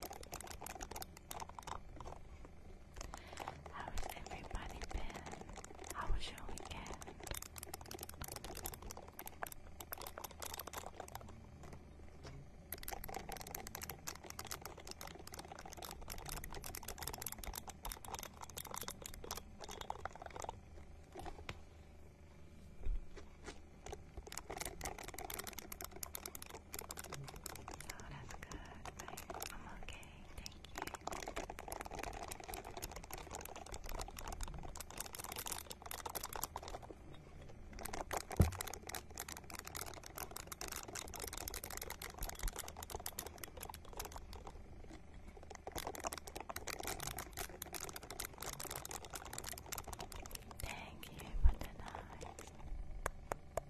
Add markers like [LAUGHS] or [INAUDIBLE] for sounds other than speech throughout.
How has everybody been? How was your weekend? Oh, that's good. I'm okay. Thank you. Thank you for the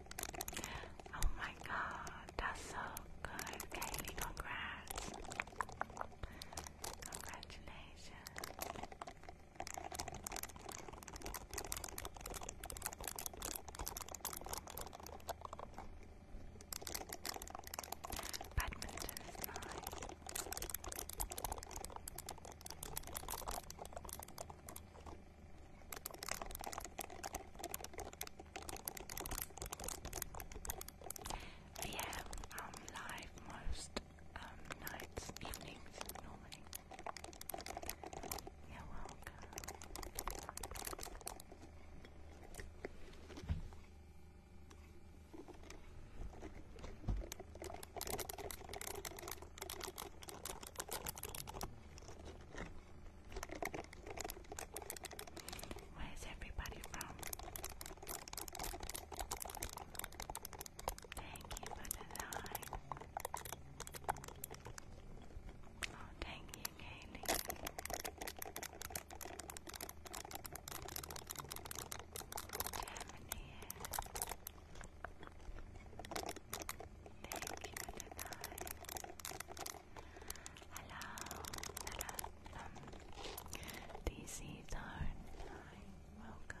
Oh my god, that's so good. Kaylee, congrats. Congratulations. Badminton yeah, I'm live most um, nights, evenings normally. You're welcome. Where's everybody from? Thank you for the line. Oh, thank you, Kaylee. Germany. Thank you, Hello, hello, um, DC Darn. Hi, welcome.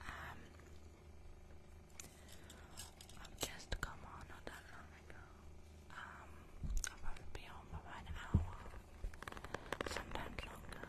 Um, I've just come on not um, I'll be on for an hour, sometimes longer.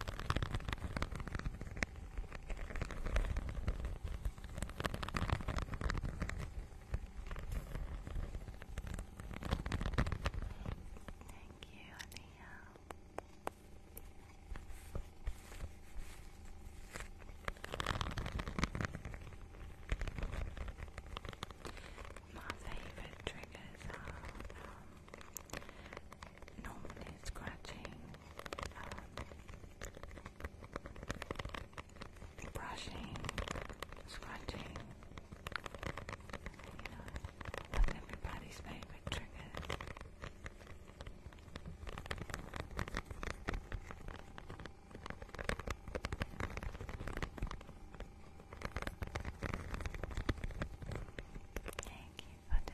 Thank you, Ania. My favorite triggers are um, normally scratching, um, brushing, scratching, you know, that's everybody's favorite triggers. Thank you for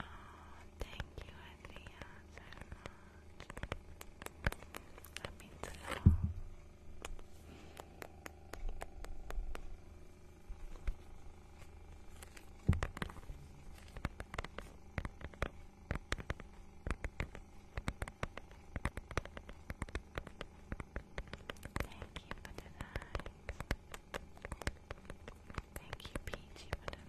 Oh, thank you, Adria, so much. That means a lot. Thank you for for the night.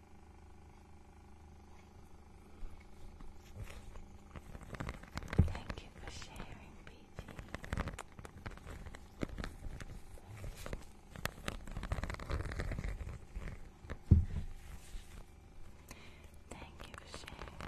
Thank you for sharing, BG. Thank you for sharing.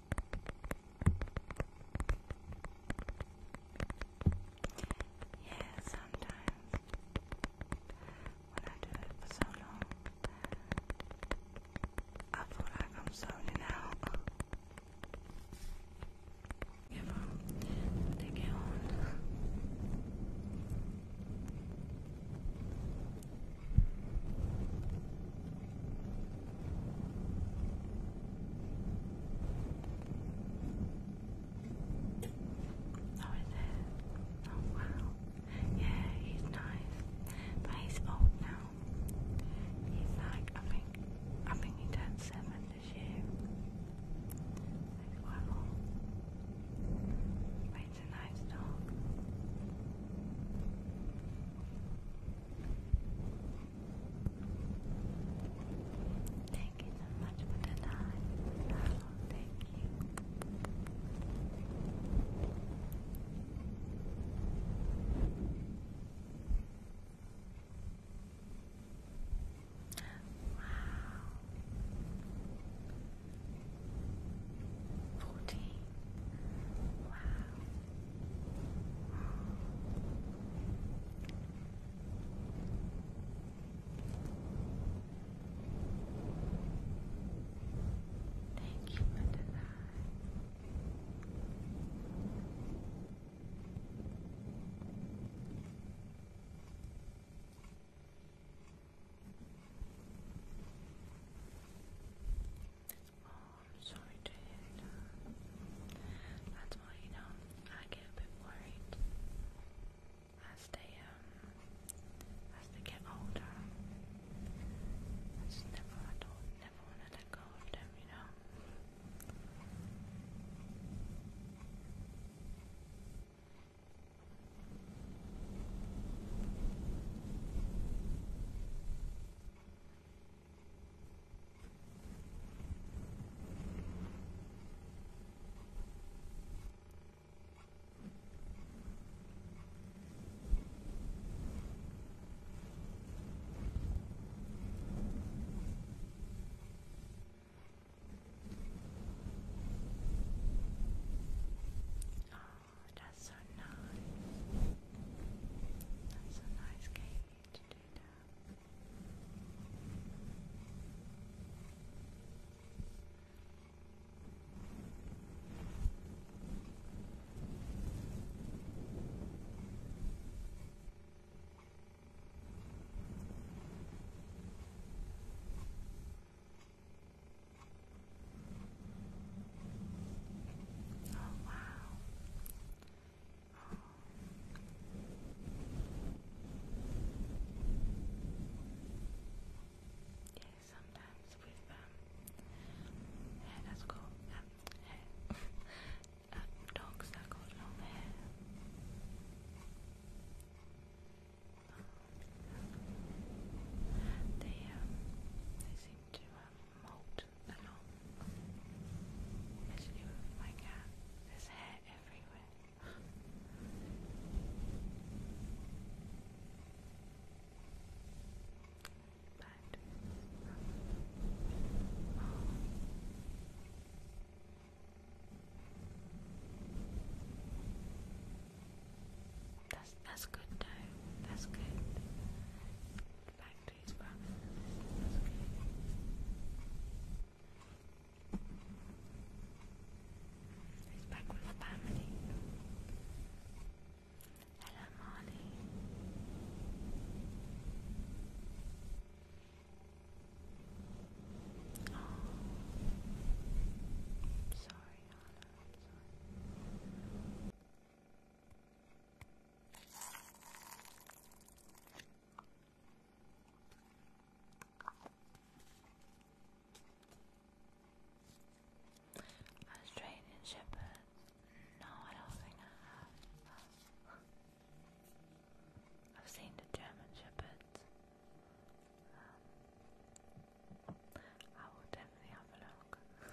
Yeah, sometimes when I do it for so long, I feel like I'm zoning out. Give them, Oh, is it? Oh, wow. Yeah, he's nice. But he's old now. He's like, I think, I think he turned seven this year. He's quite old. But he's a nice dog. Thank you so much for the night. thank you. Wow. Fourteen. Wow. Thank you for the I'm Sorry to hear that. That's why, you know, I get a bit worried as they, um, as they get older. I just never, I do never want to let go of them, you know. Oh, that's so nice. That's a nice cake you oh, wow. Yeah, sometimes with um, hair that's got um, dogs that got long hair. They um, they seem to um, molt ano, it's my cat. There's hair everywhere. but, That's that's good though. That's good. But factories, but He's back with family. Hello, Molly. Oh, sorry, Anna. I'm sorry. Australian Shepherd. No, I don't think I have. I've seen the German Shepherds. Um, I will definitely have a look. [LAUGHS]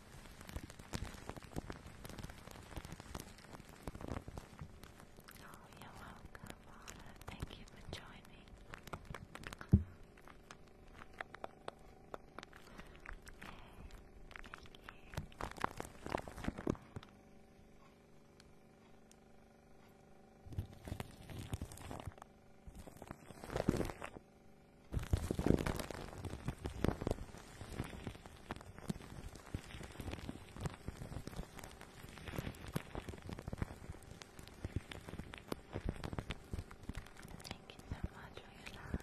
Oh, you're welcome, Anna. Thank you for joining. Okay. Thank you. Thank you so much for your time.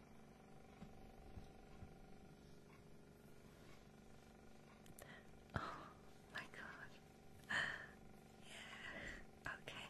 Oh my god. Yeah. Okay.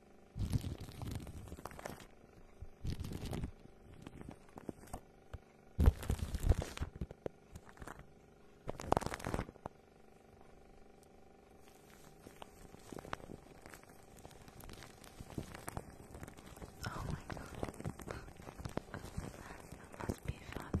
Oh my god. that must be fun.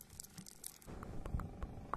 Can you see the box?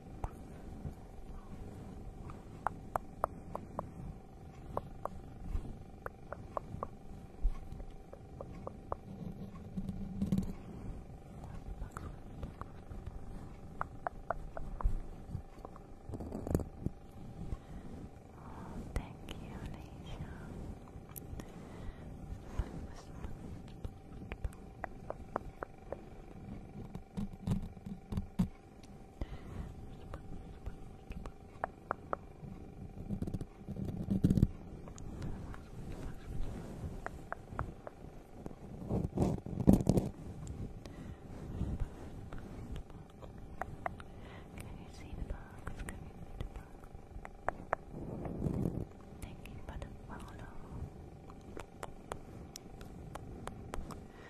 thank you, Alicia. Can you see the box? Can you the box? Thank you for the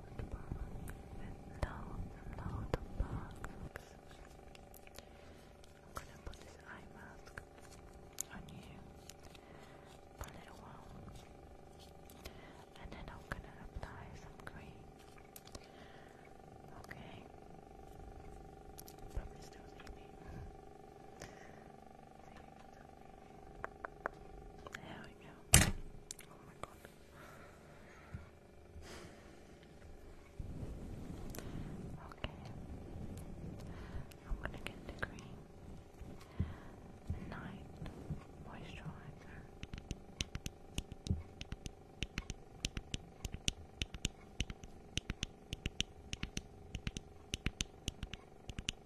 of I'm gonna put this eye mask on you for a little while. And then I'm gonna apply some cream. Okay. Probably still see there we go. Oh my god. Okay. I'm gonna get the cream. Night moisturizer.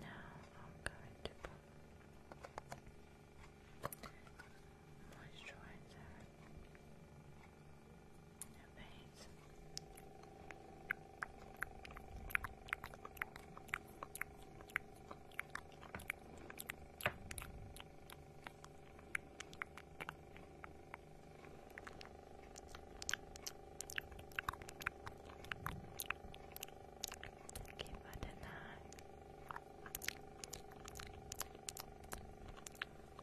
Now I'm going to put moisturizer in your face. Keep it in